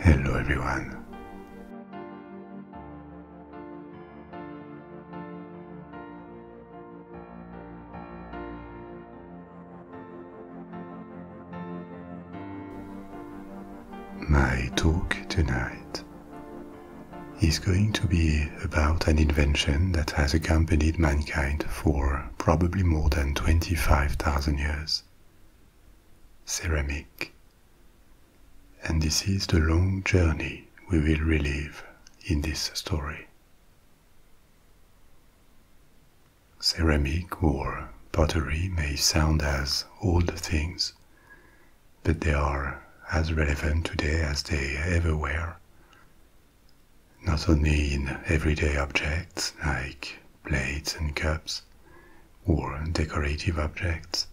Hello everyone. My talk tonight is going to be about an invention that has accompanied mankind for probably more than 25,000 years. Ceramic. And this is the long journey we will relive in this story. Ceramic or pottery may sound as old things, but they are as relevant today as they ever were, not only in everyday objects like plates and cups or decorative objects,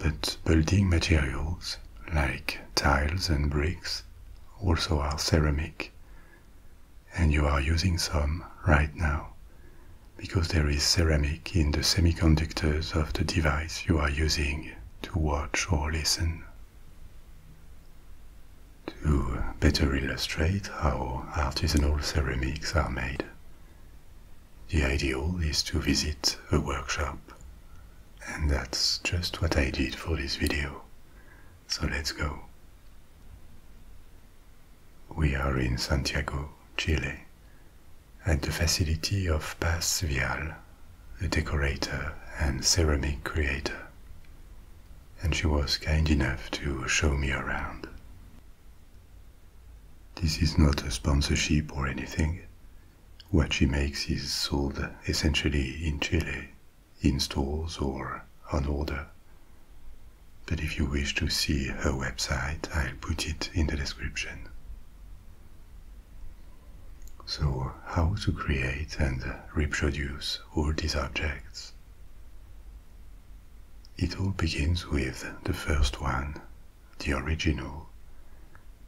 but building materials like tiles and bricks also are ceramic. And you are using some right now because there is ceramic in the semiconductors of the device you are using to watch or listen to better illustrate how artisanal ceramics are made. The ideal is to visit a workshop, and that's just what I did for this video. So let's go. We are in Santiago, Chile, at the facility of Paz Vial, a decorator and ceramic creator and she was kind enough to show me around. This is not a sponsorship or anything. What she makes is sold essentially in Chile, in stores or on order. But if you wish to see her website, I'll put it in the description. So, how to create and reproduce all these objects? It all begins with the first one, the original,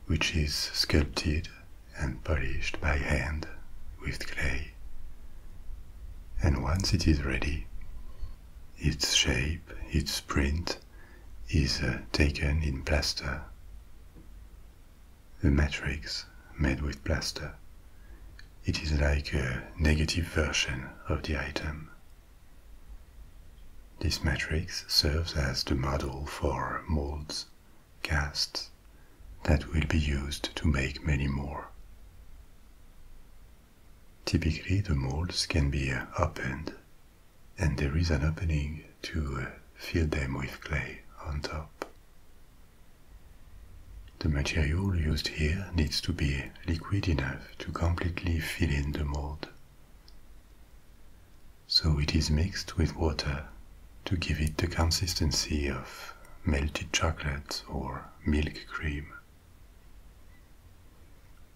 which is sculpted and polished by hand with clay. And once it is ready, its shape, its print, is uh, taken in plaster. the matrix made with plaster. It is like a negative version of the item. This matrix serves as the model for molds, casts, that will be used to make many more. Typically, the molds can be opened, and there is an opening to fill them with clay on top. The material used here needs to be liquid enough to completely fill in the mold. So it is mixed with water to give it the consistency of melted chocolate or milk cream.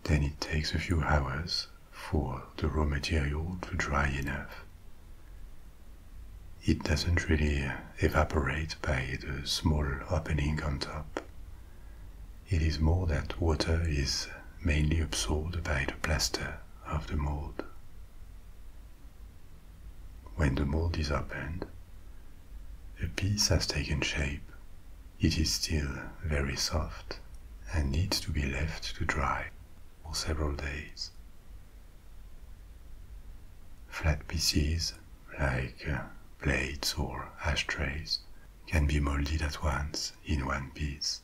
Then it takes a few hours for the raw material to dry enough. It doesn't really evaporate by the small opening on top. It is more that water is mainly absorbed by the plaster of the mold. When the mold is opened, the piece has taken shape. It is still very soft and needs to be left to dry for several days. Flat pieces like plates uh, or ashtrays, can be molded at once in one piece.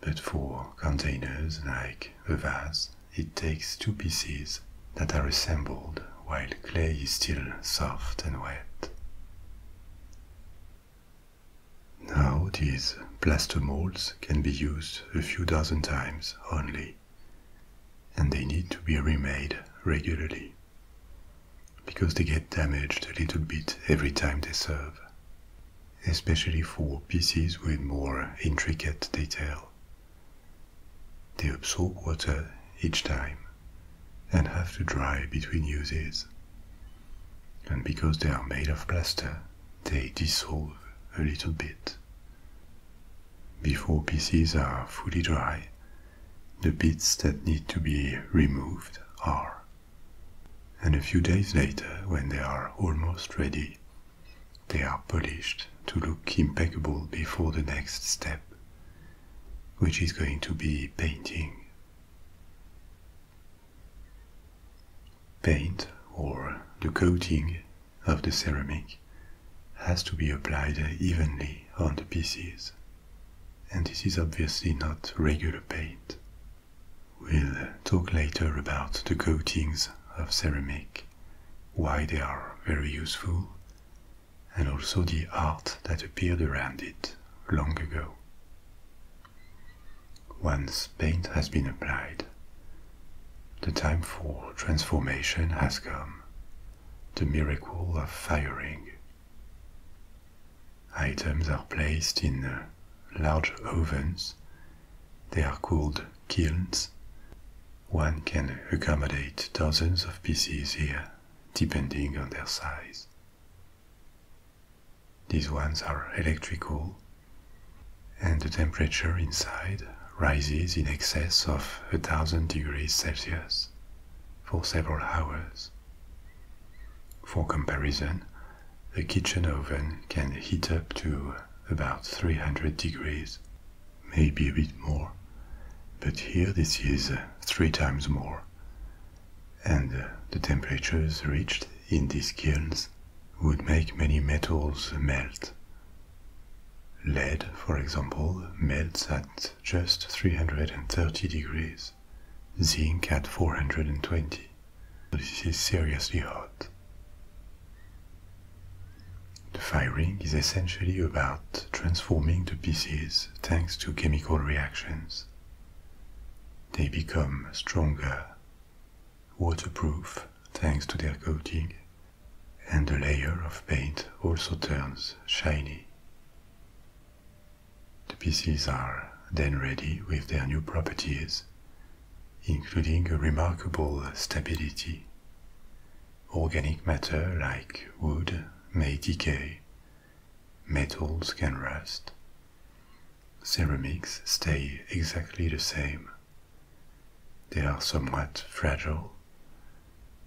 But for containers like a vase, it takes two pieces that are assembled while clay is still soft and wet. Now these plaster molds can be used a few dozen times only and they need to be remade regularly because they get damaged a little bit every time they serve, especially for pieces with more intricate detail. They absorb water each time and have to dry between uses. And because they are made of plaster, they dissolve a little bit before pieces are fully dry, the bits that need to be removed are. And a few days later, when they are almost ready, they are polished to look impeccable before the next step, which is going to be painting. Paint, or the coating of the ceramic, has to be applied evenly on the pieces. And this is obviously not regular paint. We'll talk later about the coatings of ceramic, why they are very useful, and also the art that appeared around it long ago. Once paint has been applied, the time for transformation has come the miracle of firing. Items are placed in uh, large ovens. They are called kilns. One can accommodate dozens of pieces here, depending on their size. These ones are electrical, and the temperature inside rises in excess of a thousand degrees Celsius for several hours. For comparison, a kitchen oven can heat up to about 300 degrees, maybe a bit more, but here this is three times more. And the temperatures reached in these kilns would make many metals melt. Lead, for example, melts at just 330 degrees, zinc at 420. This is seriously hot. The firing is essentially about transforming the pieces thanks to chemical reactions. They become stronger, waterproof thanks to their coating, and the layer of paint also turns shiny. The pieces are then ready with their new properties, including a remarkable stability. Organic matter like wood may decay, metals can rust, ceramics stay exactly the same. They are somewhat fragile,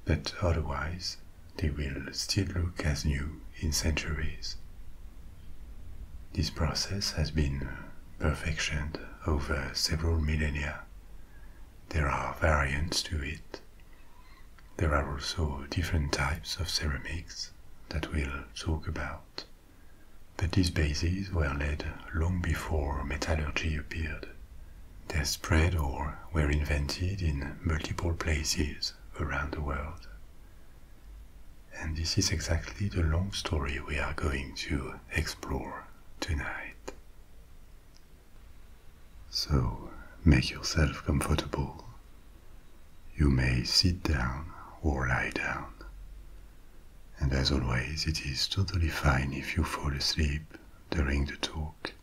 but otherwise they will still look as new in centuries. This process has been uh, perfected over several millennia. There are variants to it. There are also different types of ceramics that we'll talk about. But these bases were laid long before metallurgy appeared. They spread or were invented in multiple places around the world. And this is exactly the long story we are going to explore tonight. So make yourself comfortable. You may sit down or lie down. And as always, it is totally fine if you fall asleep during the talk.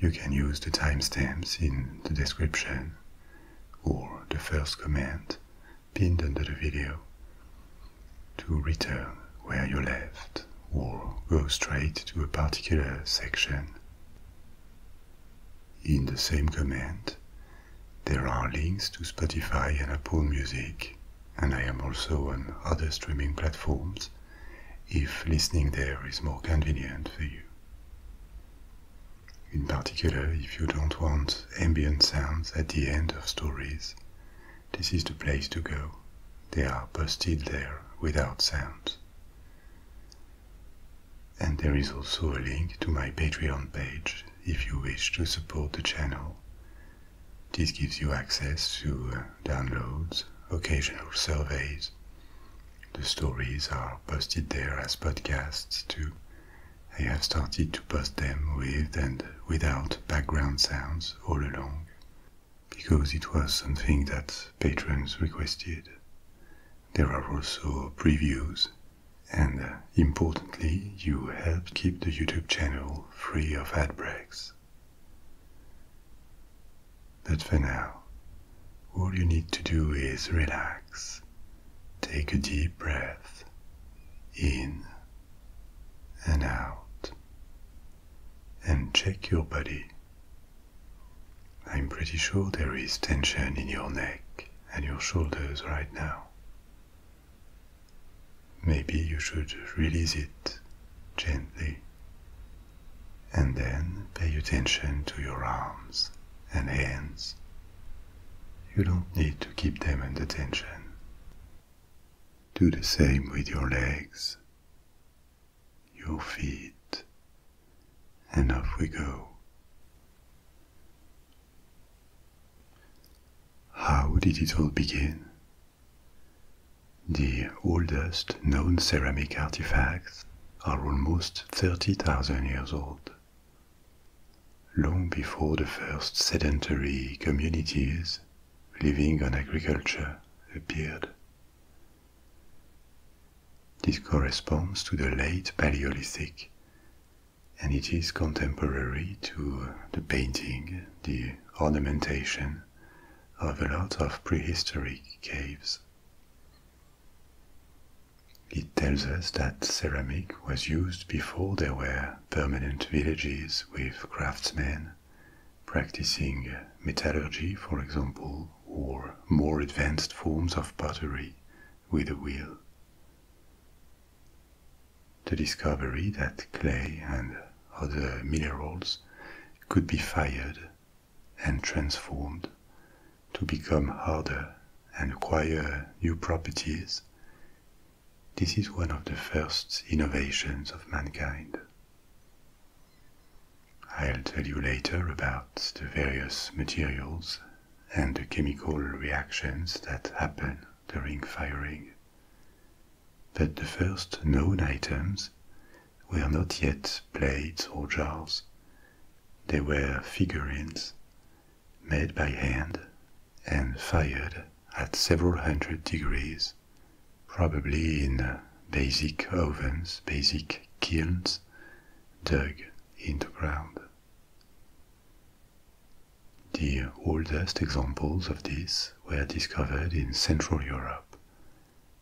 You can use the timestamps in the description or the first comment pinned under the video to return where you left or go straight to a particular section. In the same comment, there are links to Spotify and Apple Music, and I am also on other streaming platforms if listening there is more convenient for you. In particular, if you don't want ambient sounds at the end of stories, this is the place to go. They are posted there without sounds. And there is also a link to my Patreon page if you wish to support the channel. This gives you access to uh, downloads, occasional surveys. The stories are posted there as podcasts too. I have started to post them with and without background sounds all along, because it was something that patrons requested. There are also previews, and importantly, you help keep the YouTube channel free of ad breaks. But for now, all you need to do is relax, take a deep breath in and out, and check your body. I'm pretty sure there is tension in your neck and your shoulders right now. Maybe you should release it gently. And then pay attention to your arms and hands. You don't need to keep them under tension. Do the same with your legs, your feet, and off we go. How did it all begin? The oldest known ceramic artifacts are almost 30,000 years old. Long before the first sedentary communities living on agriculture appeared. This corresponds to the late Paleolithic and it is contemporary to the painting, the ornamentation of a lot of prehistoric caves. It tells us that ceramic was used before there were permanent villages with craftsmen practicing metallurgy, for example, or more advanced forms of pottery with a wheel. The discovery that clay and other minerals could be fired and transformed to become harder and acquire new properties. This is one of the first innovations of mankind. I'll tell you later about the various materials and the chemical reactions that happen during firing. But the first known items were not yet plates or jars. They were figurines made by hand and fired at several hundred degrees, probably in uh, basic ovens, basic kilns dug into ground. The oldest examples of this were discovered in Central Europe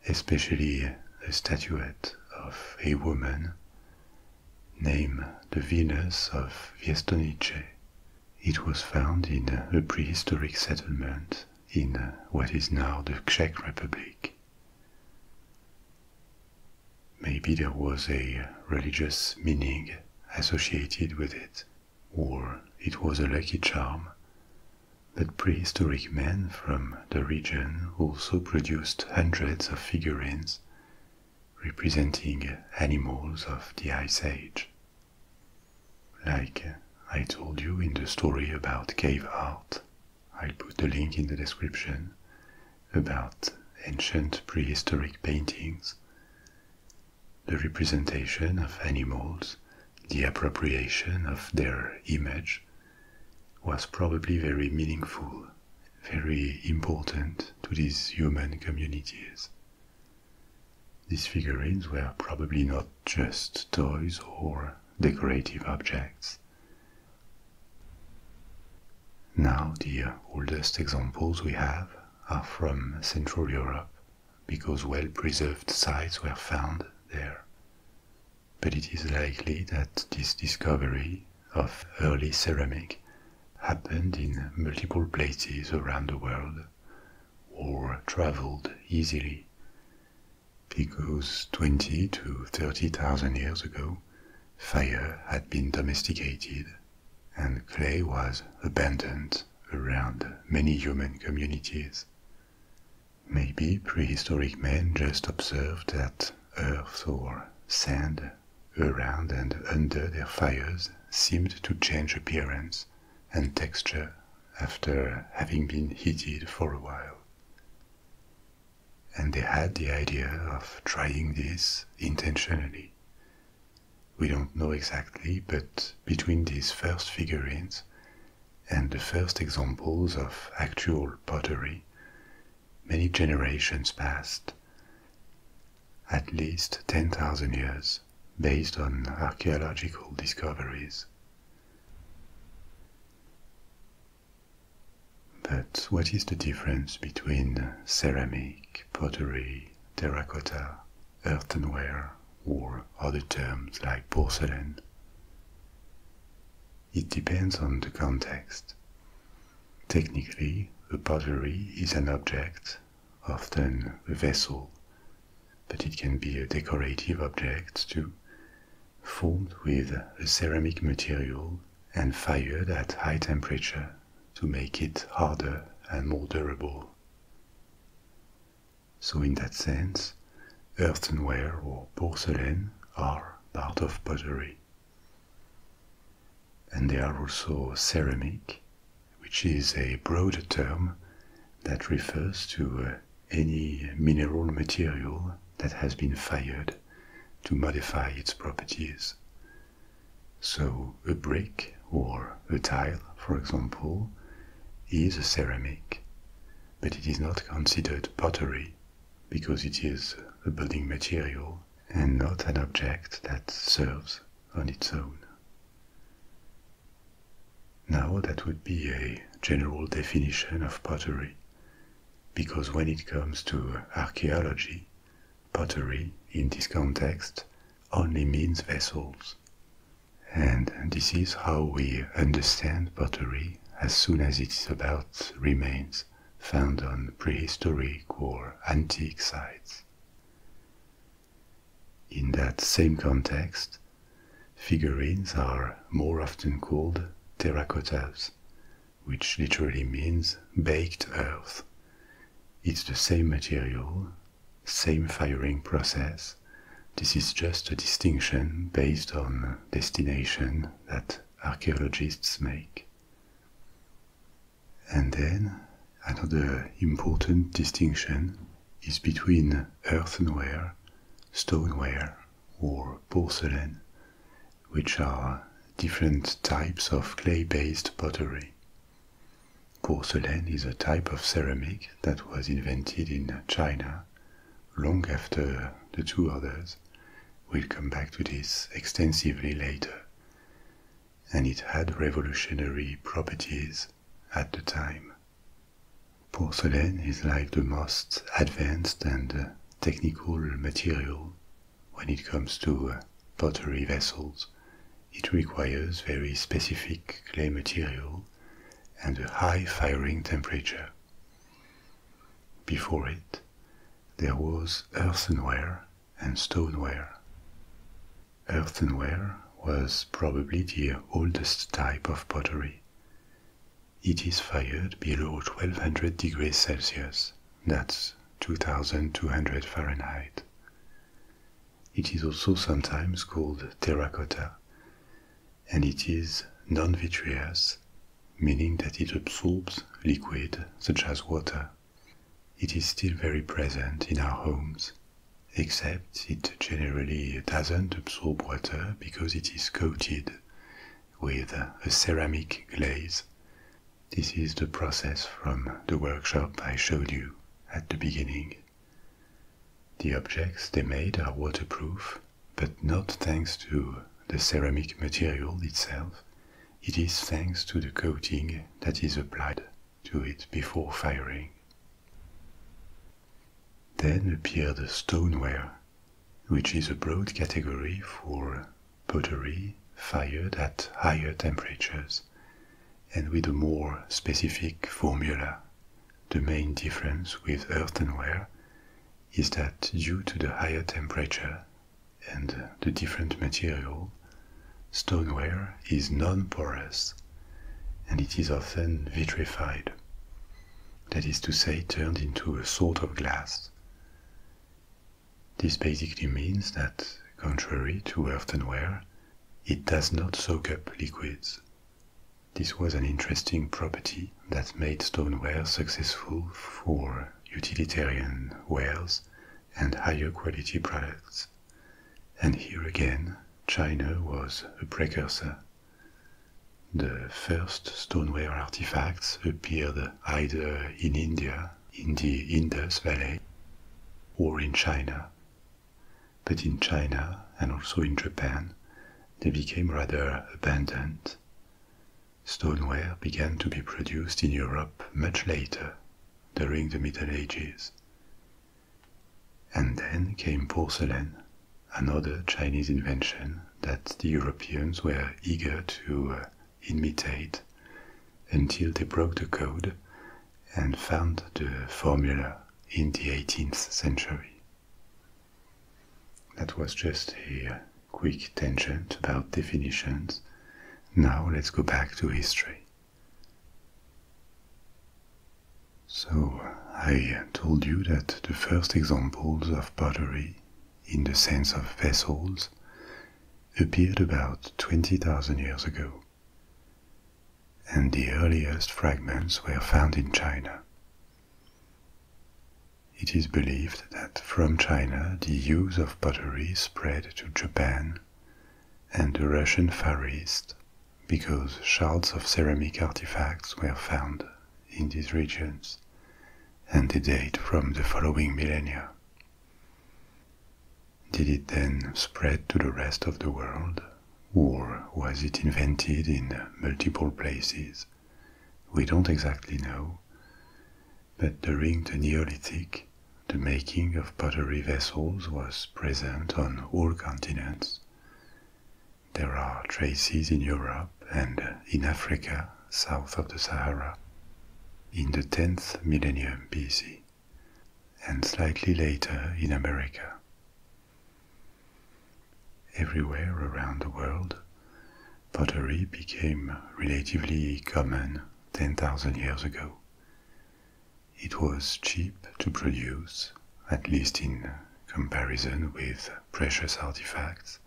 especially a statuette of a woman named the Venus of Viestonice. It was found in a prehistoric settlement in what is now the Czech Republic. Maybe there was a religious meaning associated with it, or it was a lucky charm, but prehistoric men from the region also produced hundreds of figurines representing animals of the Ice Age. Like I told you in the story about cave art, I'll put the link in the description about ancient prehistoric paintings. The representation of animals, the appropriation of their image, was probably very meaningful, very important to these human communities. These figurines were probably not just toys or decorative objects. Now, the oldest examples we have are from Central Europe because well preserved sites were found there but it is likely that this discovery of early ceramic happened in multiple places around the world or traveled easily because 20 to 30,000 years ago fire had been domesticated and clay was abundant around many human communities Maybe prehistoric men just observed that earth or sand around and under their fires seemed to change appearance and texture after having been heated for a while. And they had the idea of trying this intentionally. We don't know exactly, but between these first figurines and the first examples of actual pottery, many generations passed, at least 10,000 years, based on archaeological discoveries. But what is the difference between ceramic, pottery, terracotta, earthenware, or other terms like porcelain? It depends on the context. Technically, a pottery is an object, often a vessel, but it can be a decorative object too, formed with a ceramic material and fired at high temperature to make it harder and more durable. So, in that sense, earthenware or porcelain are part of pottery. And they are also ceramic, which is a broader term that refers to uh, any mineral material that has been fired to modify its properties. So, a brick or a tile, for example, is a ceramic, but it is not considered pottery because it is a building material and not an object that serves on its own. Now, that would be a general definition of pottery, because when it comes to archaeology, pottery in this context only means vessels. And this is how we understand pottery as soon as it's about remains found on prehistoric or antique sites. In that same context, figurines are more often called terracottas, which literally means baked earth. It's the same material, same firing process. This is just a distinction based on destination that archaeologists make. And then another important distinction is between earthenware, stoneware, or porcelain, which are different types of clay based pottery. Porcelain is a type of ceramic that was invented in China long after the two others. We'll come back to this extensively later. And it had revolutionary properties at the time. Porcelain is like the most advanced and uh, technical material when it comes to uh, pottery vessels. It requires very specific clay material and a high firing temperature. Before it, there was earthenware and stoneware. Earthenware was probably the oldest type of pottery. It is fired below 1200 degrees Celsius, that's 2200 Fahrenheit. It is also sometimes called terracotta, and it is non vitreous meaning that it absorbs liquid such as water. It is still very present in our homes, except it generally doesn't absorb water because it is coated with a ceramic glaze. This is the process from the workshop I showed you at the beginning. The objects they made are waterproof but not thanks to the ceramic material itself. It is thanks to the coating that is applied to it before firing. Then appear the stoneware, which is a broad category for pottery fired at higher temperatures and with a more specific formula. The main difference with earthenware is that due to the higher temperature, and the different material, stoneware is non-porous and it is often vitrified. That is to say, turned into a sort of glass. This basically means that, contrary to earthenware, it does not soak up liquids. This was an interesting property that made stoneware successful for utilitarian wares and higher quality products. And here again, China was a precursor. The first stoneware artifacts appeared either in India, in the Indus Valley, or in China. But in China and also in Japan, they became rather abandoned Stoneware began to be produced in Europe much later, during the Middle Ages. And then came porcelain, another Chinese invention that the Europeans were eager to uh, imitate until they broke the code and found the formula in the 18th century. That was just a uh, quick tangent about definitions. Now let's go back to history. So, I told you that the first examples of pottery, in the sense of vessels, appeared about 20,000 years ago, and the earliest fragments were found in China. It is believed that from China the use of pottery spread to Japan and the Russian Far East because shards of ceramic artifacts were found in these regions and they date from the following millennia. Did it then spread to the rest of the world or was it invented in multiple places? We don't exactly know. But during the Neolithic, the making of pottery vessels was present on all continents. There are traces in Europe and in Africa south of the Sahara in the 10th millennium BC and slightly later in America. Everywhere around the world, pottery became relatively common 10,000 years ago. It was cheap to produce, at least in comparison with precious artifacts,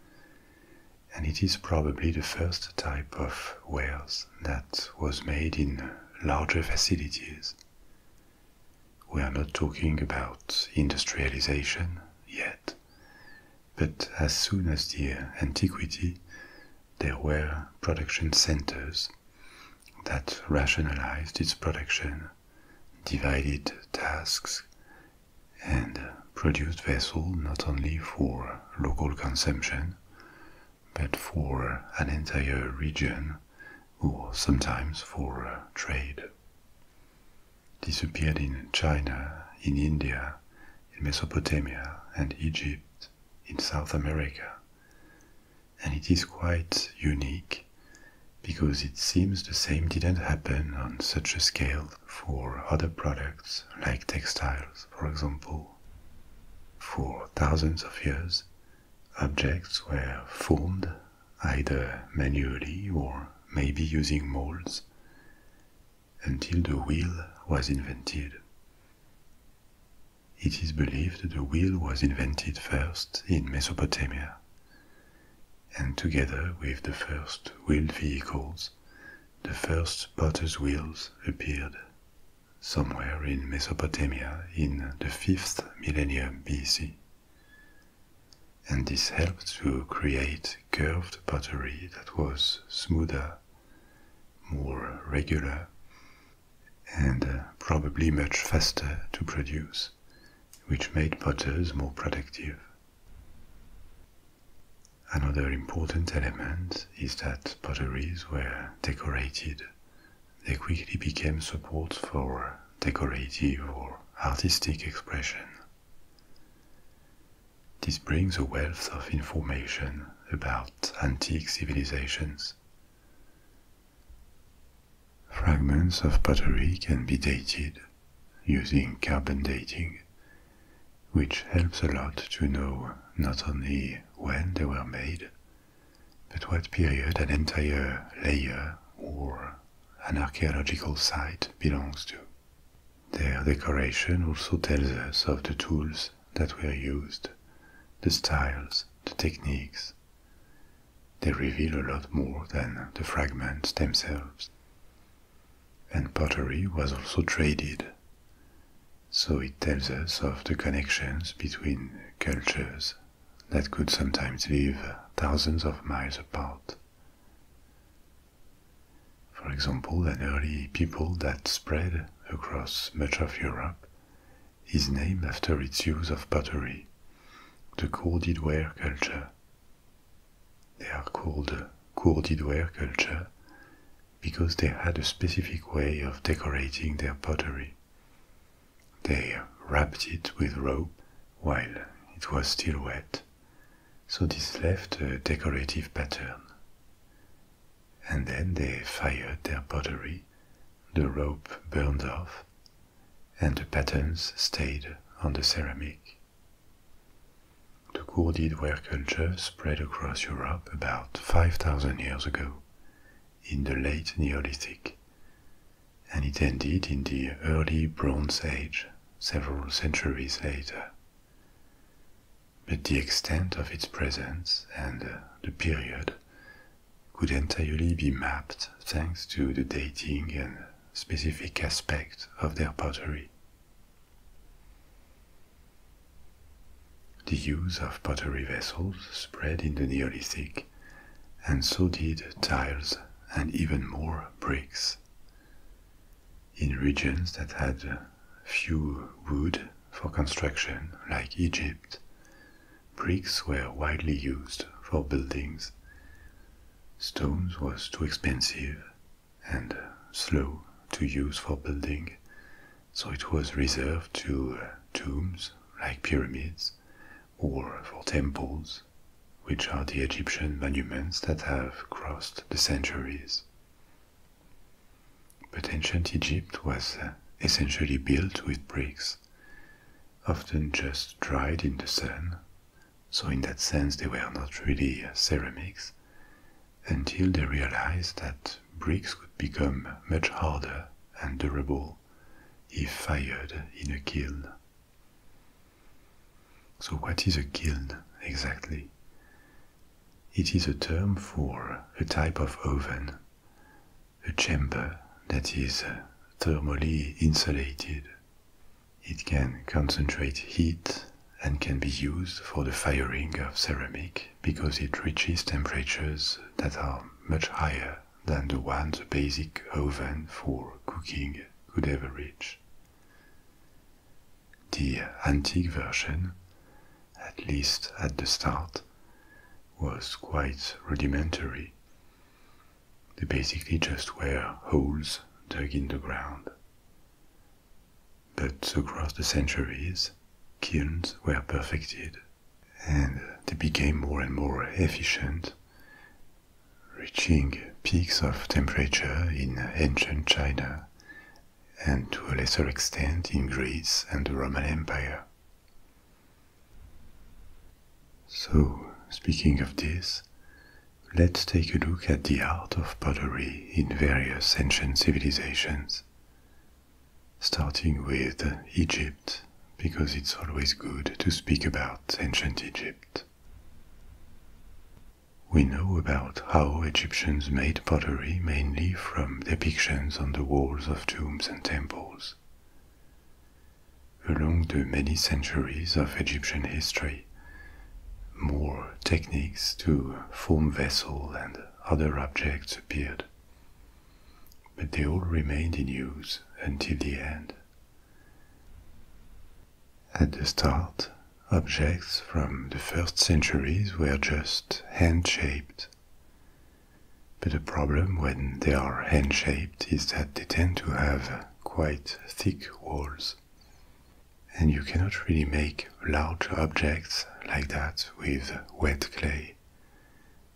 and it is probably the first type of wares that was made in larger facilities. We are not talking about industrialization yet, but as soon as the antiquity, there were production centers that rationalized its production, divided tasks, and produced vessels not only for local consumption, but for an entire region or sometimes for trade. Disappeared in China, in India, in Mesopotamia and Egypt, in South America. And it is quite unique because it seems the same didn't happen on such a scale for other products like textiles, for example. For thousands of years, objects were formed either manually or maybe using molds until the wheel was invented. It is believed the wheel was invented first in Mesopotamia, and together with the first wheeled vehicles, the first pottery wheels appeared somewhere in Mesopotamia in the 5th millennium BC. And this helped to create curved pottery that was smoother more regular, and uh, probably much faster to produce, which made potters more productive. Another important element is that potteries were decorated. They quickly became supports for decorative or artistic expression. This brings a wealth of information about antique civilizations. Fragments of pottery can be dated using carbon dating, which helps a lot to know not only when they were made, but what period an entire layer or an archaeological site belongs to. Their decoration also tells us of the tools that were used, the styles, the techniques. They reveal a lot more than the fragments themselves. And pottery was also traded, so it tells us of the connections between cultures that could sometimes live thousands of miles apart. For example, an early people that spread across much of Europe is named after its use of pottery, the cordedware culture. They are called cordedware culture because they had a specific way of decorating their pottery. They wrapped it with rope while it was still wet, so this left a decorative pattern and then they fired their pottery, the rope burned off, and the patterns stayed on the ceramic. The Corded ware culture spread across Europe about 5,000 years ago, in the late Neolithic, and it ended in the early Bronze Age several centuries later. But the extent of its presence and uh, the period could entirely be mapped thanks to the dating and specific aspect of their pottery. The use of pottery vessels spread in the Neolithic, and so did tiles and even more bricks. In regions that had few wood for construction, like Egypt, bricks were widely used for buildings. Stones was too expensive and slow to use for building, so it was reserved to uh, tombs like pyramids or for temples, which are the Egyptian monuments that have crossed the centuries. But ancient Egypt was uh, essentially built with bricks, often just dried in the sun, so in that sense they were not really uh, ceramics until they realized that bricks could become much harder and durable if fired in a kiln. So, what is a kiln exactly? It is a term for a type of oven, a chamber that is uh, thermally insulated. It can concentrate heat and can be used for the firing of ceramic because it reaches temperatures that are much higher than the ones a basic oven for cooking could ever reach. The antique version, at least at the start, was quite rudimentary. They basically just were holes dug in the ground. But across the centuries, kilns were perfected and they became more and more efficient, reaching peaks of temperature in ancient China and to a lesser extent in Greece and the Roman Empire. So, speaking of this, let's take a look at the art of pottery in various ancient civilizations, starting with Egypt, because it's always good to speak about ancient Egypt. We know about how Egyptians made pottery mainly from depictions on the walls of tombs and temples. Along the many centuries of Egyptian history, more techniques to form vessel and other objects appeared, but they all remained in use until the end. At the start, objects from the first centuries were just hand-shaped. But the problem when they are hand-shaped is that they tend to have quite thick walls. And you cannot really make large objects like that with wet clay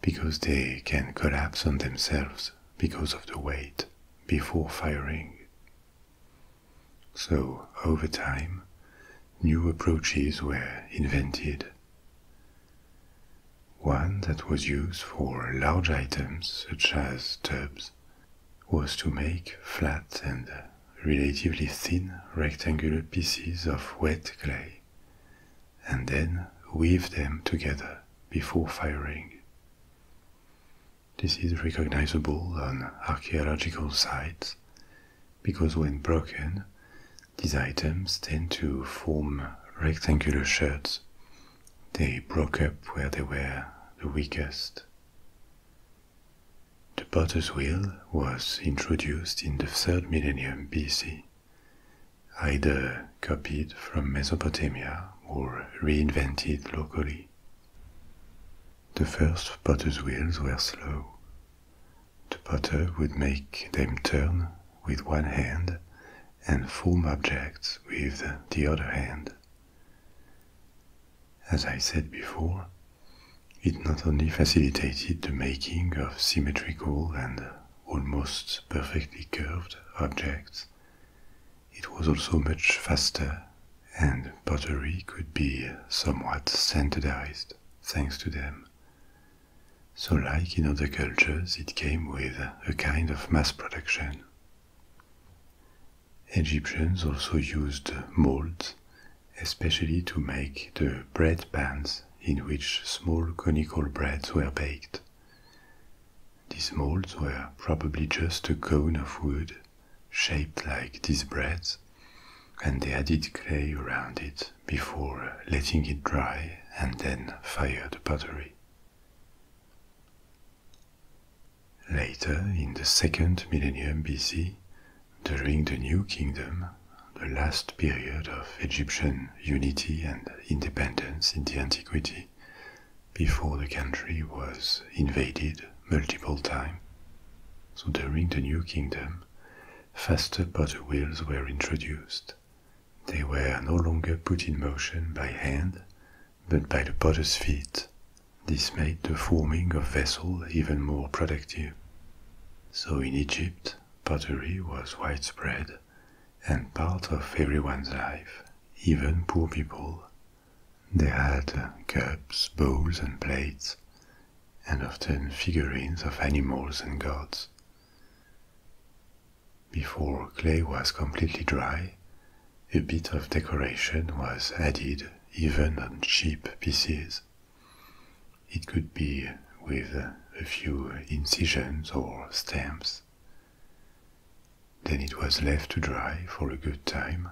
because they can collapse on themselves because of the weight before firing. So, over time, new approaches were invented. One that was used for large items such as tubs was to make flat and relatively thin rectangular pieces of wet clay and then weave them together before firing. This is recognizable on archaeological sites because when broken, these items tend to form rectangular shards. They broke up where they were the weakest. The potter's wheel was introduced in the third millennium BC, either copied from Mesopotamia or reinvented locally. The first potter's wheels were slow. The potter would make them turn with one hand and form objects with the other hand. As I said before, it not only facilitated the making of symmetrical and almost perfectly curved objects, it was also much faster, and pottery could be somewhat standardized thanks to them. So, like in other cultures, it came with a kind of mass production. Egyptians also used molds, especially to make the bread pans in which small conical breads were baked. These molds were probably just a cone of wood shaped like these breads, and they added clay around it before letting it dry and then fire the pottery. Later, in the second millennium BC, during the New Kingdom, the last period of Egyptian unity and independence in the antiquity, before the country was invaded multiple times. So during the New Kingdom, faster butter wheels were introduced. They were no longer put in motion by hand, but by the potter's feet. This made the forming of vessels even more productive. So in Egypt, pottery was widespread and part of everyone's life, even poor people. They had cups, bowls, and plates, and often figurines of animals and gods. Before clay was completely dry, a bit of decoration was added even on cheap pieces. It could be with a few incisions or stamps. Then it was left to dry for a good time.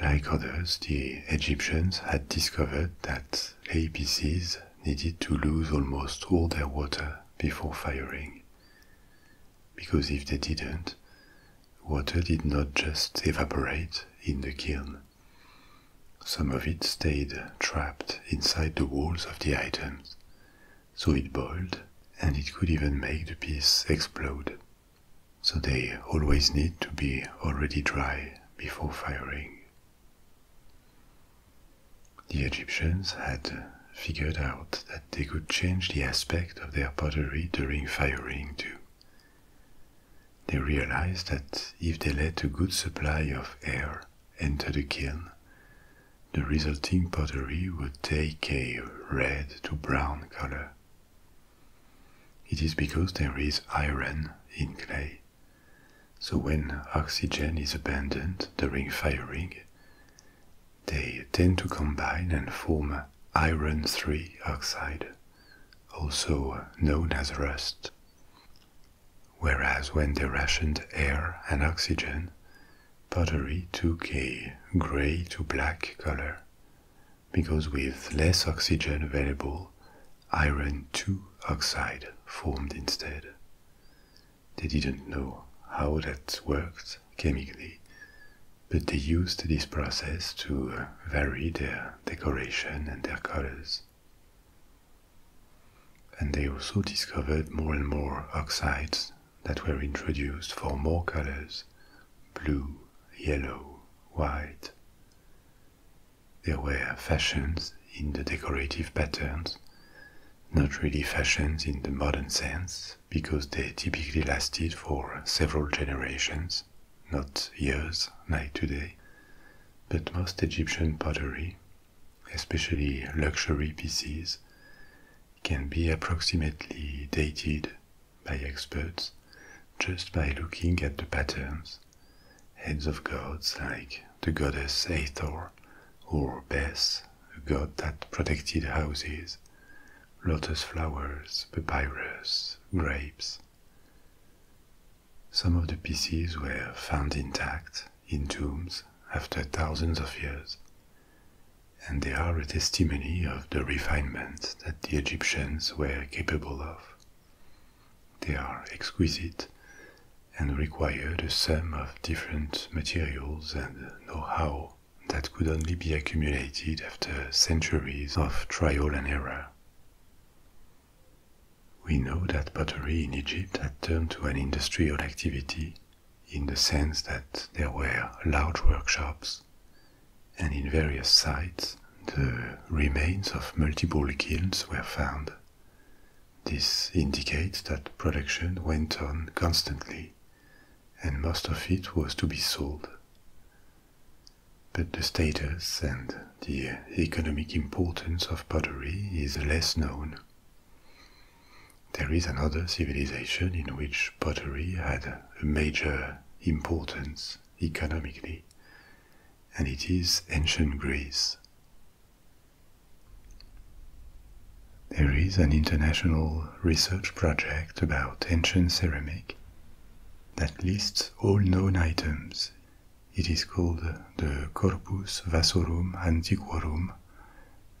Like others, the Egyptians had discovered that APCs needed to lose almost all their water before firing. Because if they didn't, water did not just evaporate in the kiln. Some of it stayed trapped inside the walls of the items, so it boiled and it could even make the piece explode. So they always need to be already dry before firing. The Egyptians had figured out that they could change the aspect of their pottery during firing too. They realized that if they let a good supply of air enter the kiln, the resulting pottery would take a red to brown color. It is because there is iron in clay so when oxygen is abandoned during firing, they tend to combine and form iron 3 oxide, also known as rust. Whereas when they rationed air and oxygen, pottery took a grey to black color, because with less oxygen available, iron 2 oxide formed instead. They didn't know how that worked chemically, but they used this process to uh, vary their decoration and their colors. And they also discovered more and more oxides that were introduced for more colors blue, yellow, white. There were fashions in the decorative patterns, not really fashions in the modern sense, because they typically lasted for several generations, not years to day. But most Egyptian pottery, especially luxury pieces, can be approximately dated by experts just by looking at the patterns heads of gods like the goddess Hathor or Bes, a god that protected houses, lotus flowers, papyrus, grapes. Some of the pieces were found intact in tombs after thousands of years, and they are a testimony of the refinement that the Egyptians were capable of. They are exquisite and require a sum of different materials and know-how that could only be accumulated after centuries of trial and error. We know that pottery in Egypt had turned to an industrial activity in the sense that there were large workshops, and in various sites the remains of multiple kilns were found this indicates that production went on constantly, and most of it was to be sold. But the status and the economic importance of pottery is less known. There is another civilization in which pottery had a major importance economically, and it is ancient Greece. There is an international research project about ancient ceramic that lists all known items. It is called the Corpus Vasorum Antiquorum,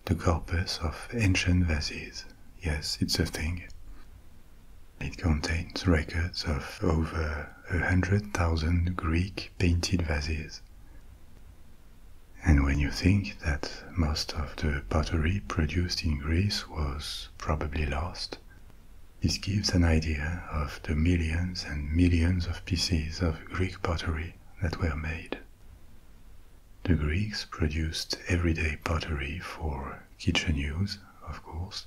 the corpus of ancient vases. Yes, it's a thing. It contains records of over a hundred thousand Greek painted vases. And when you think that most of the pottery produced in Greece was probably lost, this gives an idea of the millions and millions of pieces of Greek pottery that were made. The Greeks produced everyday pottery for kitchen use, of course,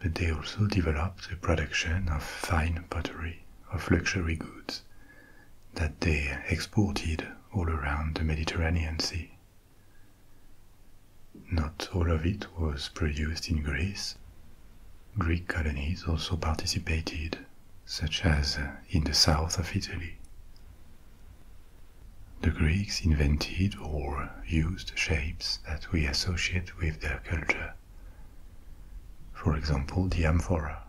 but they also developed the production of fine pottery of luxury goods that they exported all around the Mediterranean Sea. Not all of it was produced in Greece. Greek colonies also participated, such as in the south of Italy. The Greeks invented or used shapes that we associate with their culture. For example, the amphora.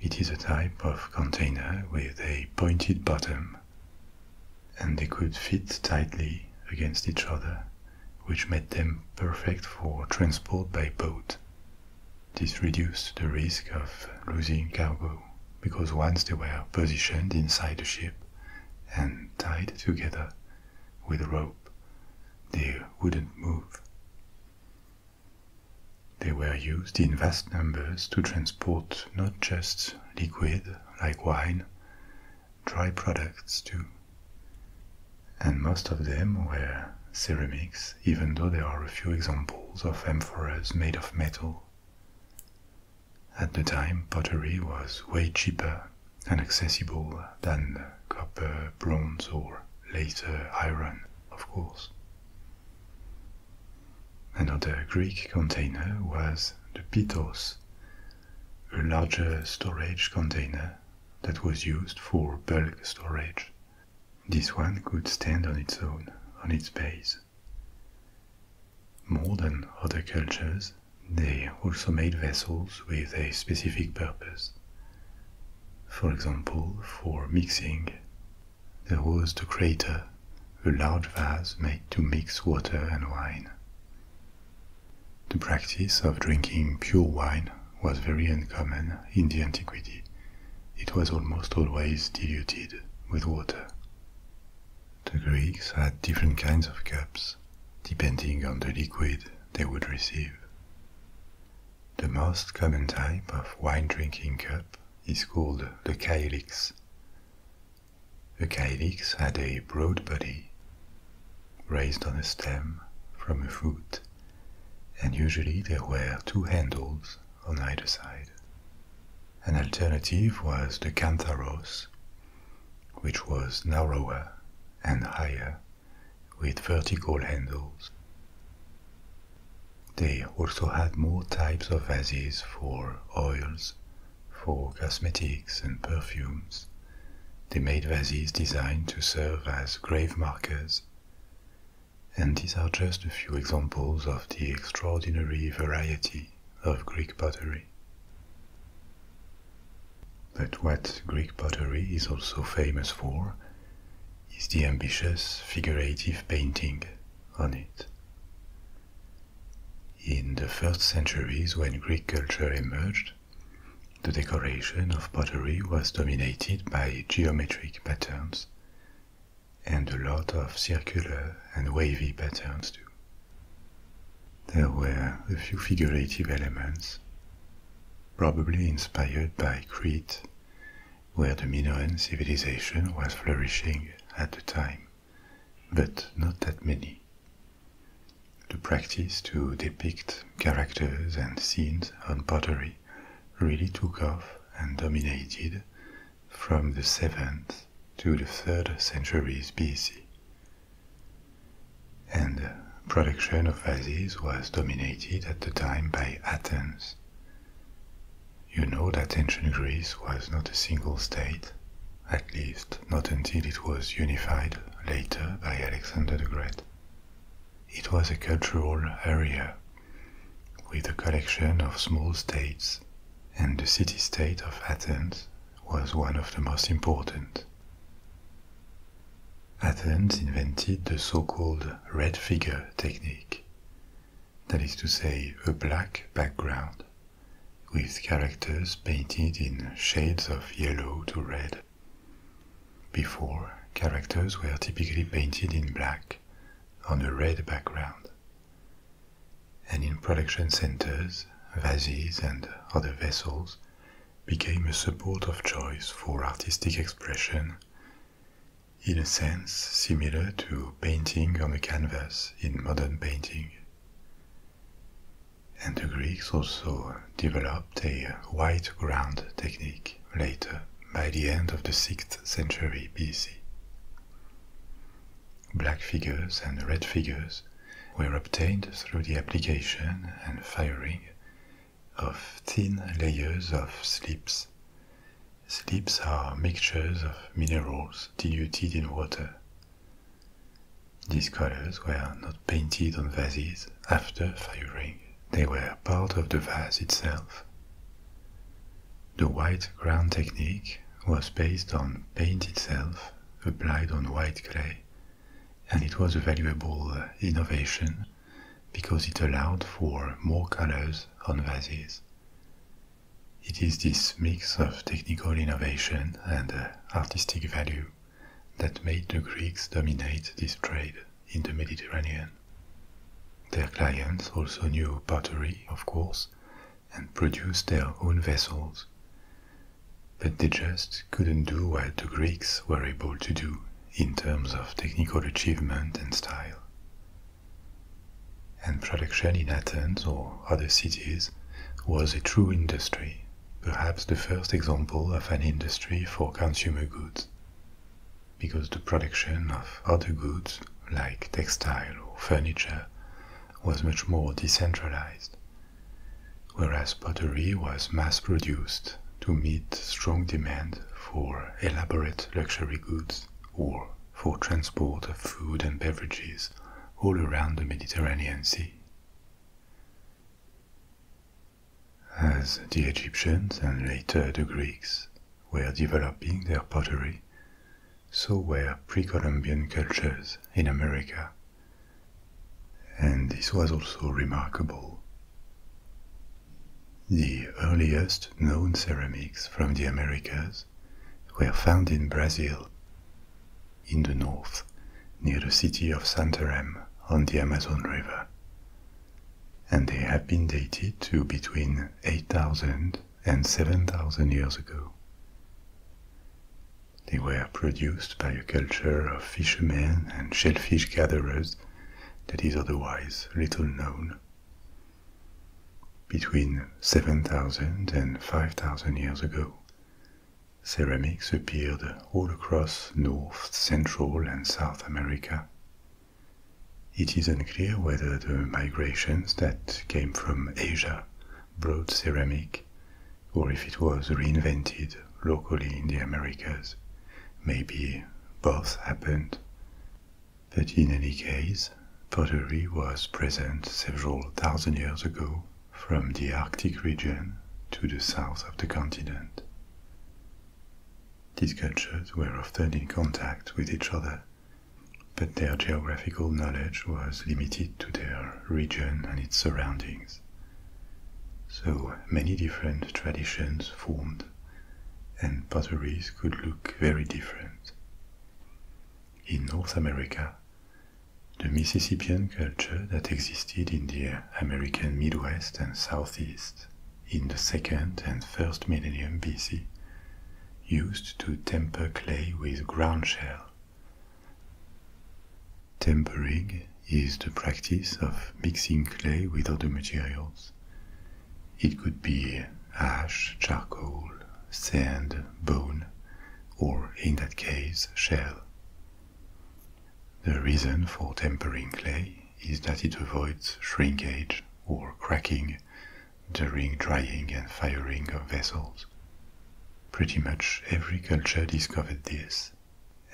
It is a type of container with a pointed bottom, and they could fit tightly against each other, which made them perfect for transport by boat. This reduced the risk of losing cargo because once they were positioned inside the ship and tied together with rope, they wouldn't move. They were used in vast numbers to transport not just liquid, like wine, dry products too. And most of them were ceramics, even though there are a few examples of amphoras made of metal. At the time, pottery was way cheaper and accessible than copper, bronze, or later iron, of course. Another Greek container was the Pythos, a larger storage container that was used for bulk storage. This one could stand on its own, on its base. More than other cultures, they also made vessels with a specific purpose. For example, for mixing. There was the crater, a large vase made to mix water and wine. The practice of drinking pure wine was very uncommon in the antiquity. It was almost always diluted with water. The Greeks had different kinds of cups depending on the liquid they would receive. The most common type of wine drinking cup is called the kylix. The kylix had a broad body, raised on a stem from a foot, and usually there were two handles on either side. An alternative was the cantharos, which was narrower and higher with vertical handles. They also had more types of vases for oils, for cosmetics and perfumes. They made vases designed to serve as grave markers. And these are just a few examples of the extraordinary variety of Greek pottery. But what Greek pottery is also famous for is the ambitious figurative painting on it. In the first centuries, when Greek culture emerged, the decoration of pottery was dominated by geometric patterns and a lot of circular and wavy patterns too. There were a few figurative elements, probably inspired by Crete, where the Minoan civilization was flourishing at the time, but not that many. The practice to depict characters and scenes on pottery really took off and dominated from the 7th to the 3rd centuries BC and production of vases was dominated at the time by Athens. You know that ancient Greece was not a single state, at least not until it was unified later by Alexander the Great. It was a cultural area with a collection of small states, and the city state of Athens was one of the most important Athens invented the so-called red figure technique, that is to say, a black background with characters painted in shades of yellow to red. Before, characters were typically painted in black on a red background. And in production centers, vases, and other vessels, became a support of choice for artistic expression, in a sense similar to painting on a canvas in modern painting. And the Greeks also developed a white ground technique later by the end of the 6th century BC. Black figures and red figures were obtained through the application and firing of thin layers of slips. Slips are mixtures of minerals diluted in water. These colors were not painted on vases after firing, they were part of the vase itself. The white ground technique was based on paint itself applied on white clay and it was a valuable uh, innovation because it allowed for more colors on vases. It is this mix of technical innovation and uh, artistic value that made the Greeks dominate this trade in the Mediterranean. Their clients also knew pottery, of course, and produced their own vessels. But they just couldn't do what the Greeks were able to do in terms of technical achievement and style. And production in Athens or other cities was a true industry, perhaps the first example of an industry for consumer goods, because the production of other goods like textile or furniture was much more decentralized, whereas pottery was mass produced to meet strong demand for elaborate luxury goods or for transport of food and beverages all around the Mediterranean Sea. As the Egyptians and later the Greeks were developing their pottery, so were pre Columbian cultures in America. And this was also remarkable. The earliest known ceramics from the Americas were found in Brazil, in the north, near the city of Santarem on the Amazon River, and they have been dated to between 8,000 and 7,000 years ago. They were produced by a culture of fishermen and shellfish gatherers that is otherwise little known. Between 7,000 and 5,000 years ago, ceramics appeared all across North, Central, and South America. It is unclear whether the migrations that came from Asia brought ceramic or if it was reinvented locally in the Americas, maybe both happened. But in any case, pottery was present several thousand years ago from the Arctic region to the south of the continent. These cultures were often in contact with each other, but their geographical knowledge was limited to their region and its surroundings. So many different traditions formed and pottery could look very different. In North America, the Mississippian culture that existed in the American Midwest and Southeast in the second and first millennium BC used to temper clay with ground shell. Tempering is the practice of mixing clay with other materials it could be ash, charcoal, sand, bone, or in that case, shell. The reason for tempering clay is that it avoids shrinkage or cracking during drying and firing of vessels. Pretty much every culture discovered this,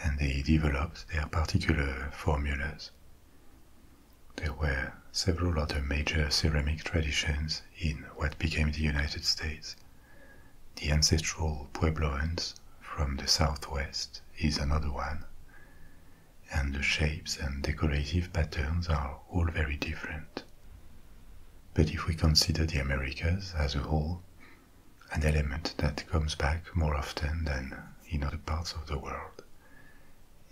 and they developed their particular formulas. There were several other major ceramic traditions in what became the United States. The ancestral Puebloans from the southwest is another one, and the shapes and decorative patterns are all very different. But if we consider the Americas as a whole, an element that comes back more often than in other parts of the world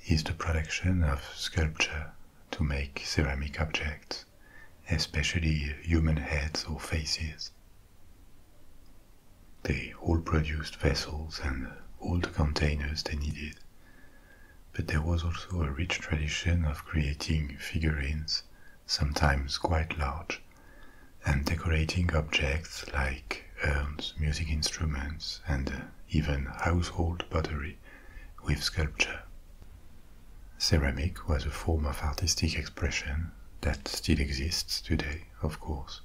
is the production of sculpture to make ceramic objects, especially human heads or faces. They all produced vessels and all the containers they needed, but there was also a rich tradition of creating figurines, sometimes quite large, and decorating objects like earned music instruments and uh, even household pottery with sculpture. Ceramic was a form of artistic expression that still exists today, of course,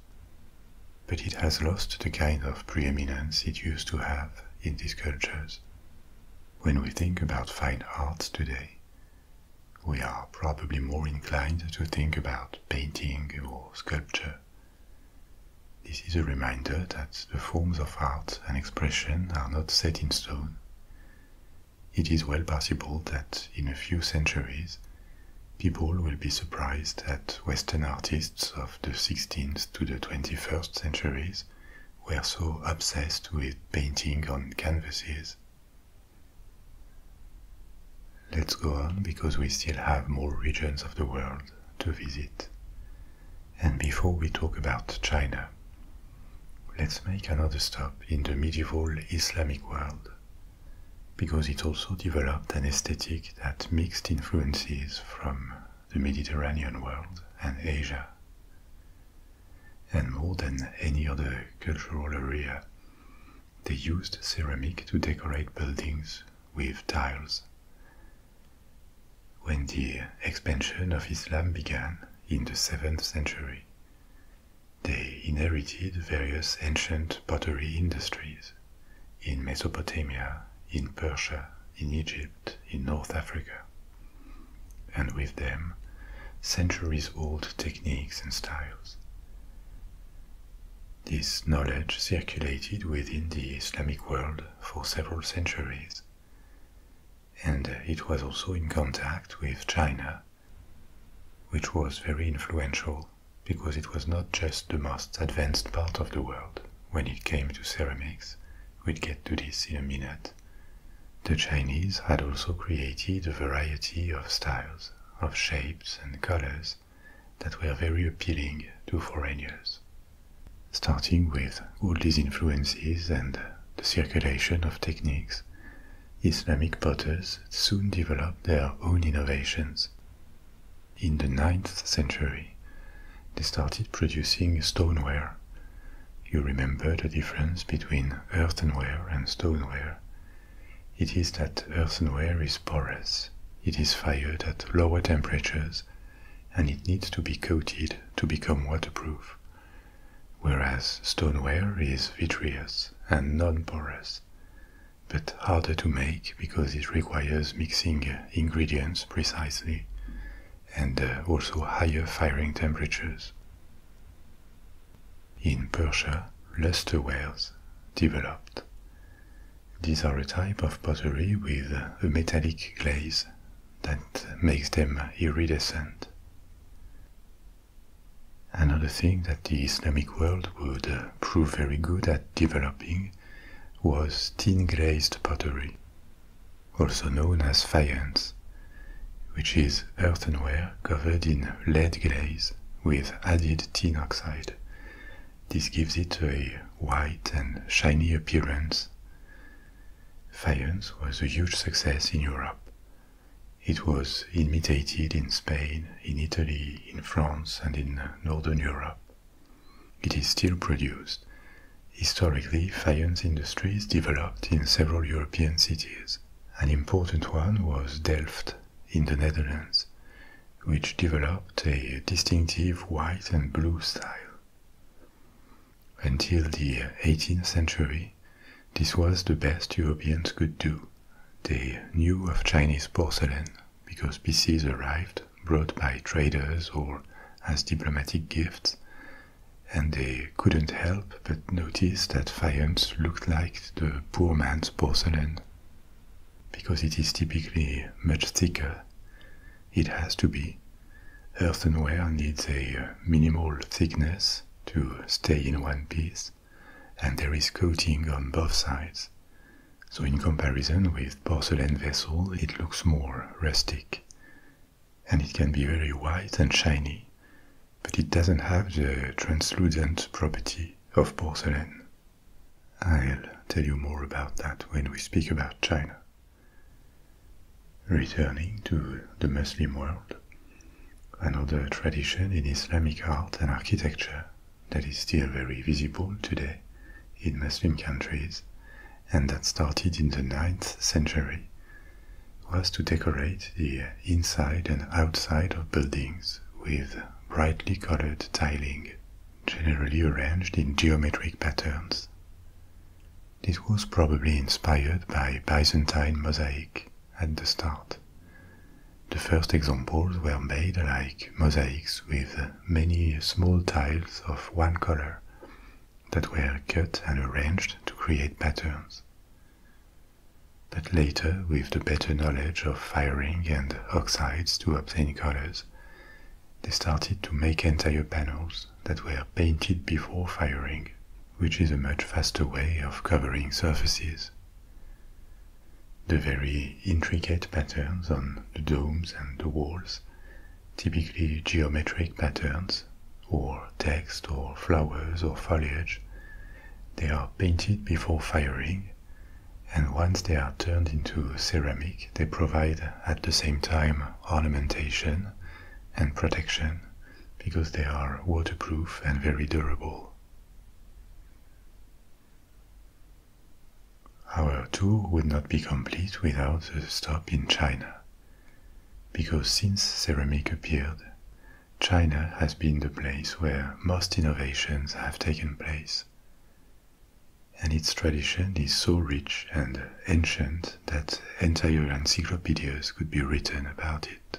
but it has lost the kind of preeminence it used to have in these cultures. When we think about fine arts today, we are probably more inclined to think about painting or sculpture this is a reminder that the forms of art and expression are not set in stone. It is well possible that in a few centuries, people will be surprised that Western artists of the 16th to the 21st centuries were so obsessed with painting on canvases. Let's go on because we still have more regions of the world to visit. And before we talk about China, let's make another stop in the medieval Islamic world because it also developed an aesthetic that mixed influences from the Mediterranean world and Asia. And more than any other cultural area, they used ceramic to decorate buildings with tiles. When the expansion of Islam began in the 7th century, they inherited various ancient pottery industries in Mesopotamia, in Persia, in Egypt, in North Africa, and with them centuries old techniques and styles. This knowledge circulated within the Islamic world for several centuries, and it was also in contact with China, which was very influential because it was not just the most advanced part of the world when it came to ceramics. We'll get to this in a minute. The Chinese had also created a variety of styles, of shapes and colors that were very appealing to foreigners. Starting with all these influences and the circulation of techniques, Islamic potters soon developed their own innovations. In the 9th century, they started producing stoneware. You remember the difference between earthenware and stoneware. It is that earthenware is porous it is fired at lower temperatures and it needs to be coated to become waterproof, whereas stoneware is vitreous and non porous, but harder to make because it requires mixing ingredients precisely and uh, also higher firing temperatures. In Persia, luster wares developed these are a type of pottery with a metallic glaze that makes them iridescent. Another thing that the Islamic world would prove very good at developing was tin glazed pottery, also known as faience, which is earthenware covered in lead glaze with added tin oxide, this gives it a white and shiny appearance. Faience was a huge success in Europe. It was imitated in Spain, in Italy, in France, and in Northern Europe. It is still produced. Historically, faience industries developed in several European cities. An important one was Delft in the Netherlands, which developed a distinctive white and blue style. Until the 18th century, this was the best Europeans could do. They knew of Chinese porcelain because pieces arrived brought by traders or as diplomatic gifts, and they couldn't help but notice that faience looked like the poor man's porcelain because it is typically much thicker, it has to be. Earthenware needs a uh, minimal thickness to stay in one piece, and there is coating on both sides. So, in comparison with porcelain vessel, it looks more rustic. And it can be very white and shiny, but it doesn't have the translucent property of porcelain. I'll tell you more about that when we speak about China. Returning to the Muslim world, another tradition in Islamic art and architecture that is still very visible today in Muslim countries and that started in the 9th century was to decorate the inside and outside of buildings with brightly colored tiling generally arranged in geometric patterns. This was probably inspired by Byzantine mosaic at the start. The first examples were made like mosaics with many small tiles of one color that were cut and arranged to create patterns. But later, with the better knowledge of firing and oxides to obtain colors, they started to make entire panels that were painted before firing, which is a much faster way of covering surfaces. The very intricate patterns on the domes and the walls, typically geometric patterns, or text or flowers or foliage, they are painted before firing and once they are turned into ceramic, they provide at the same time ornamentation and protection because they are waterproof and very durable. Our tour would not be complete without a stop in China, because since ceramic appeared, China has been the place where most innovations have taken place and its tradition is so rich and ancient that entire encyclopedias could be written about it.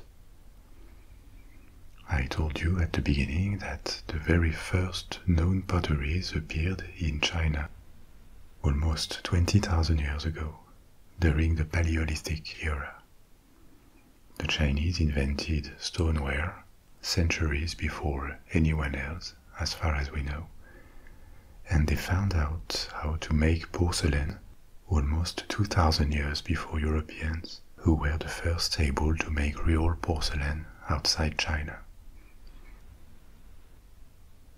I told you at the beginning that the very first known pottery appeared in China almost 20,000 years ago during the Paleolithic era. The Chinese invented stoneware centuries before anyone else as far as we know, and they found out how to make porcelain almost 2000 years before Europeans, who were the first able to make real porcelain outside China.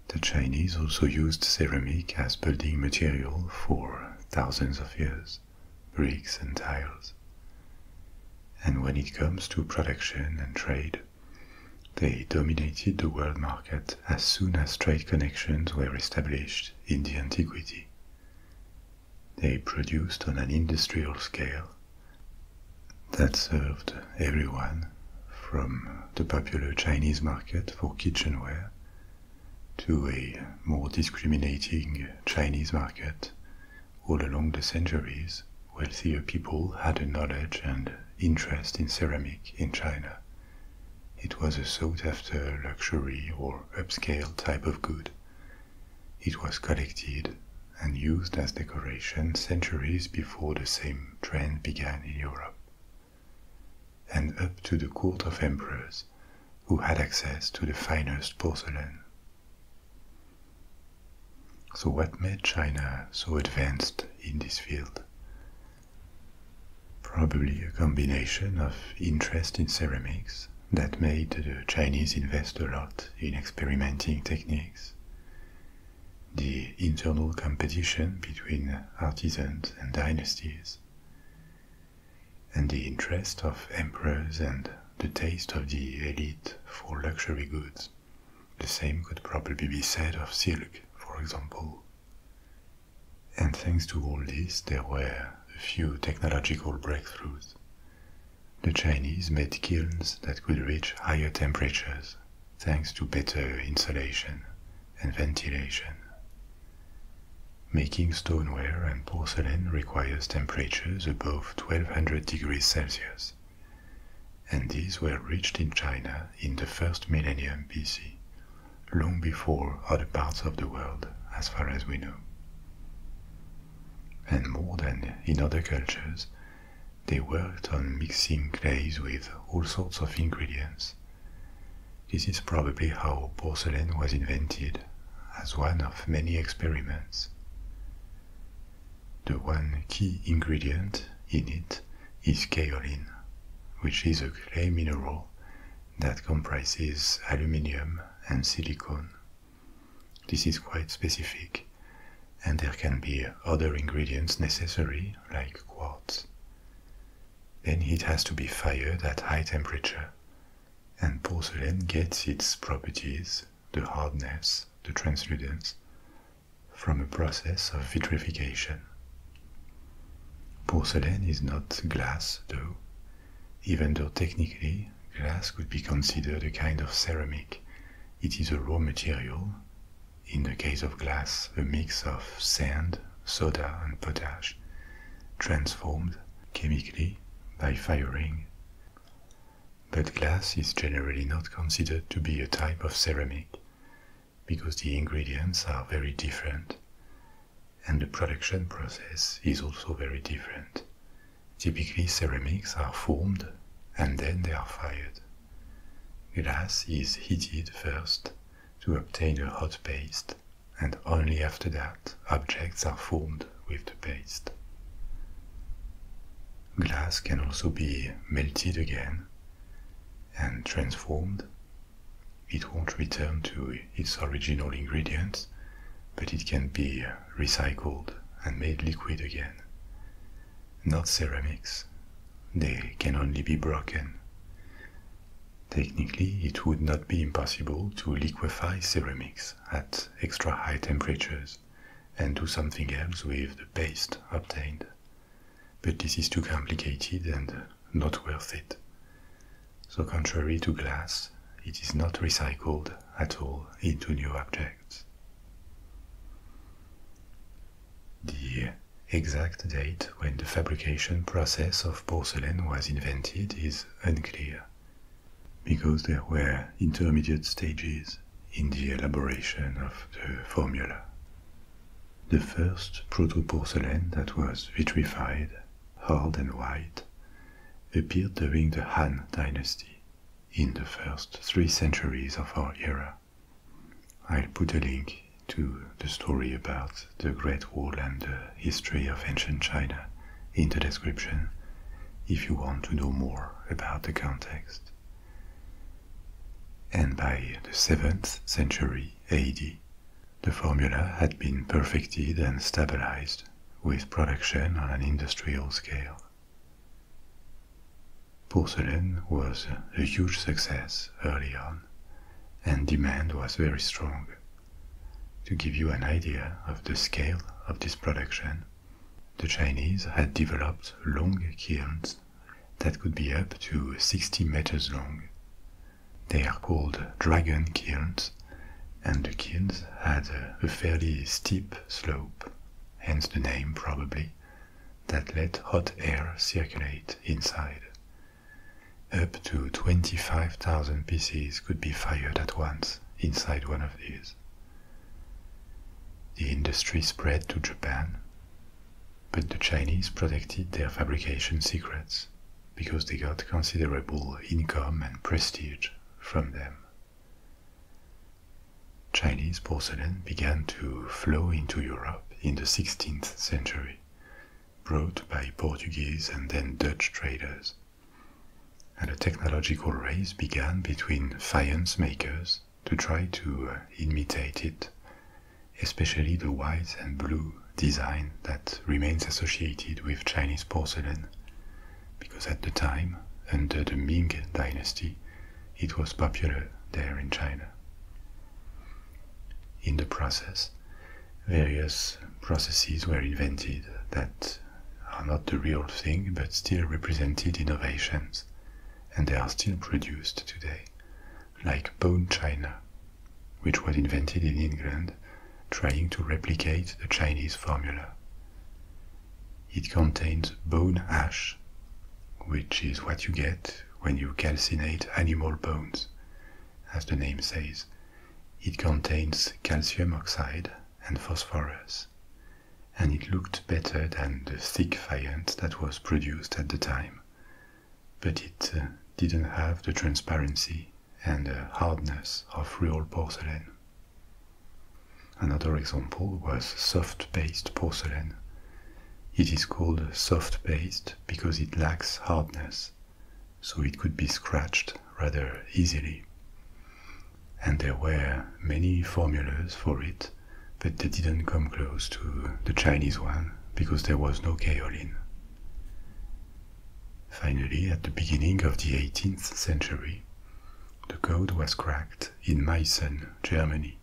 The Chinese also used ceramic as building material for thousands of years, bricks and tiles. And when it comes to production and trade, they dominated the world market as soon as trade connections were established in the antiquity. They produced on an industrial scale that served everyone, from the popular Chinese market for kitchenware to a more discriminating Chinese market all along the centuries wealthier people had a knowledge and interest in ceramic in China. It was a sought after luxury or upscale type of good. It was collected and used as decoration centuries before the same trend began in Europe. And up to the court of emperors who had access to the finest porcelain. So, what made China so advanced in this field? Probably a combination of interest in ceramics that made the Chinese invest a lot in experimenting techniques, the internal competition between artisans and dynasties, and the interest of emperors and the taste of the elite for luxury goods, the same could probably be said of silk, for example. And thanks to all this, there were a few technological breakthroughs. The Chinese made kilns that could reach higher temperatures thanks to better insulation and ventilation. Making stoneware and porcelain requires temperatures above 1200 degrees Celsius and these were reached in China in the first millennium BC, long before other parts of the world, as far as we know. And more than in other cultures, they worked on mixing clays with all sorts of ingredients. This is probably how porcelain was invented, as one of many experiments. The one key ingredient in it is kaolin, which is a clay mineral that comprises aluminium and silicon. This is quite specific, and there can be other ingredients necessary, like quartz. Then it has to be fired at high temperature, and porcelain gets its properties the hardness, the translucence, from a process of vitrification. Porcelain is not glass, though, even though technically glass could be considered a kind of ceramic. It is a raw material, in the case of glass, a mix of sand, soda, and potash, transformed chemically by firing. But glass is generally not considered to be a type of ceramic because the ingredients are very different. And the production process is also very different. Typically, ceramics are formed and then they are fired. Glass is heated first to obtain a hot paste, and only after that objects are formed with the paste. Glass can also be melted again and transformed. It won't return to its original ingredients, but it can be recycled and made liquid again. Not ceramics, they can only be broken. Technically, it would not be impossible to liquefy ceramics at extra high temperatures and do something else with the paste obtained but this is too complicated and not worth it. So, contrary to glass, it is not recycled at all into new objects. The exact date when the fabrication process of porcelain was invented is unclear, because there were intermediate stages in the elaboration of the formula the first proto-porcelain that was vitrified, hard and white, appeared during the Han dynasty in the first three centuries of our era. I'll put a link to the story about the Great Wall and the history of ancient China in the description if you want to know more about the context. And by the 7th century AD, the formula had been perfected and stabilized with production on an industrial scale. Porcelain was a huge success early on, and demand was very strong. To give you an idea of the scale of this production, the Chinese had developed long kilns that could be up to 60 meters long. They are called dragon kilns, and the kilns had a fairly steep slope, hence the name probably, that let hot air circulate inside. Up to 25,000 pieces could be fired at once inside one of these. The industry spread to Japan but the Chinese protected their fabrication secrets because they got considerable income and prestige from them. Chinese porcelain began to flow into Europe in the 16th century, brought by Portuguese and then Dutch traders. And a technological race began between faience makers to try to uh, imitate it, especially the white and blue design that remains associated with Chinese porcelain, because at the time, under the Ming dynasty, it was popular there in China. In the process, various processes were invented that are not the real thing but still represented innovations, and they are still produced today like bone china, which was invented in England, trying to replicate the Chinese formula. It contains bone ash, which is what you get when you calcinate animal bones. As the name says, it contains calcium oxide and phosphorus, and it looked better than the thick faience that was produced at the time but it uh, didn't have the transparency and the hardness of real porcelain. Another example was soft paste porcelain. It is called soft paste because it lacks hardness, so it could be scratched rather easily. And there were many formulas for it, but they didn't come close to the Chinese one because there was no kaolin. Finally, at the beginning of the 18th century, the code was cracked in Meissen, Germany,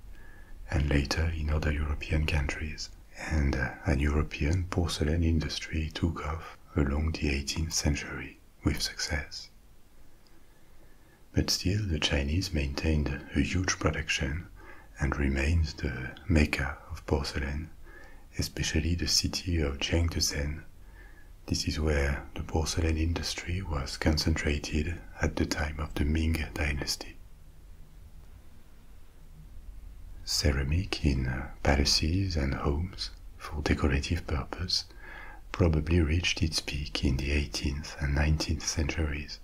and later in other European countries, and uh, an European porcelain industry took off along the 18th century with success. But still, the Chinese maintained a huge production and remains the mecca of porcelain, especially the city of Jingdezhen. This is where the porcelain industry was concentrated at the time of the Ming dynasty. Ceramic in palaces and homes for decorative purpose probably reached its peak in the 18th and 19th centuries,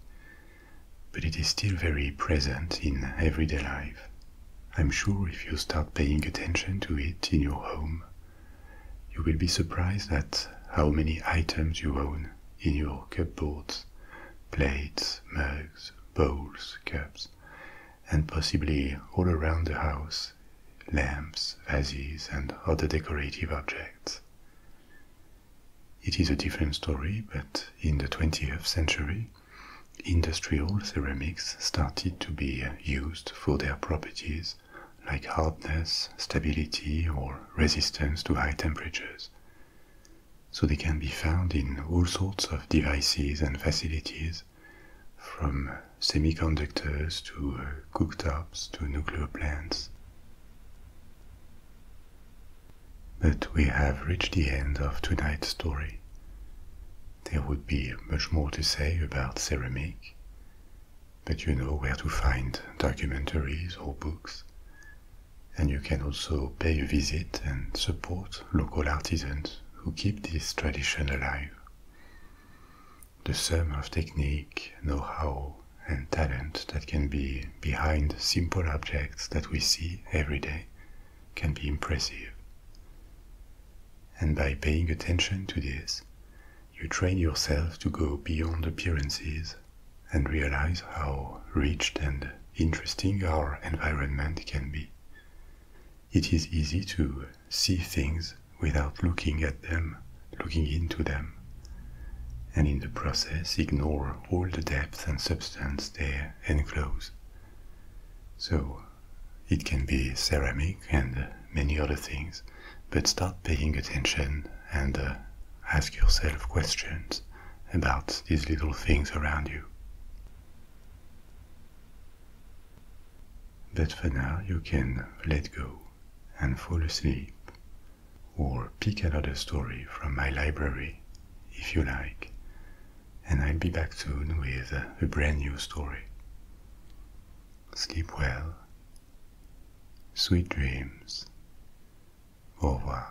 but it is still very present in everyday life. I'm sure if you start paying attention to it in your home, you will be surprised at how many items you own in your cupboards plates, mugs, bowls, cups, and possibly all around the house lamps, vases, and other decorative objects. It is a different story, but in the 20th century, industrial ceramics started to be uh, used for their properties like hardness, stability, or resistance to high temperatures. So they can be found in all sorts of devices and facilities, from semiconductors to uh, cooktops to nuclear plants. But we have reached the end of tonight's story. There would be much more to say about ceramic, but you know where to find documentaries or books, and you can also pay a visit and support local artisans who keep this tradition alive. The sum of technique, know how, and talent that can be behind simple objects that we see every day can be impressive. And by paying attention to this, you train yourself to go beyond appearances and realize how rich and interesting our environment can be. It is easy to see things without looking at them, looking into them, and in the process ignore all the depth and substance there and clothes. So it can be ceramic and many other things, but start paying attention and uh, ask yourself questions about these little things around you. But for now, you can let go and fall asleep, or pick another story from my library if you like, and I'll be back soon with a brand new story. Sleep well. Sweet dreams. Au revoir.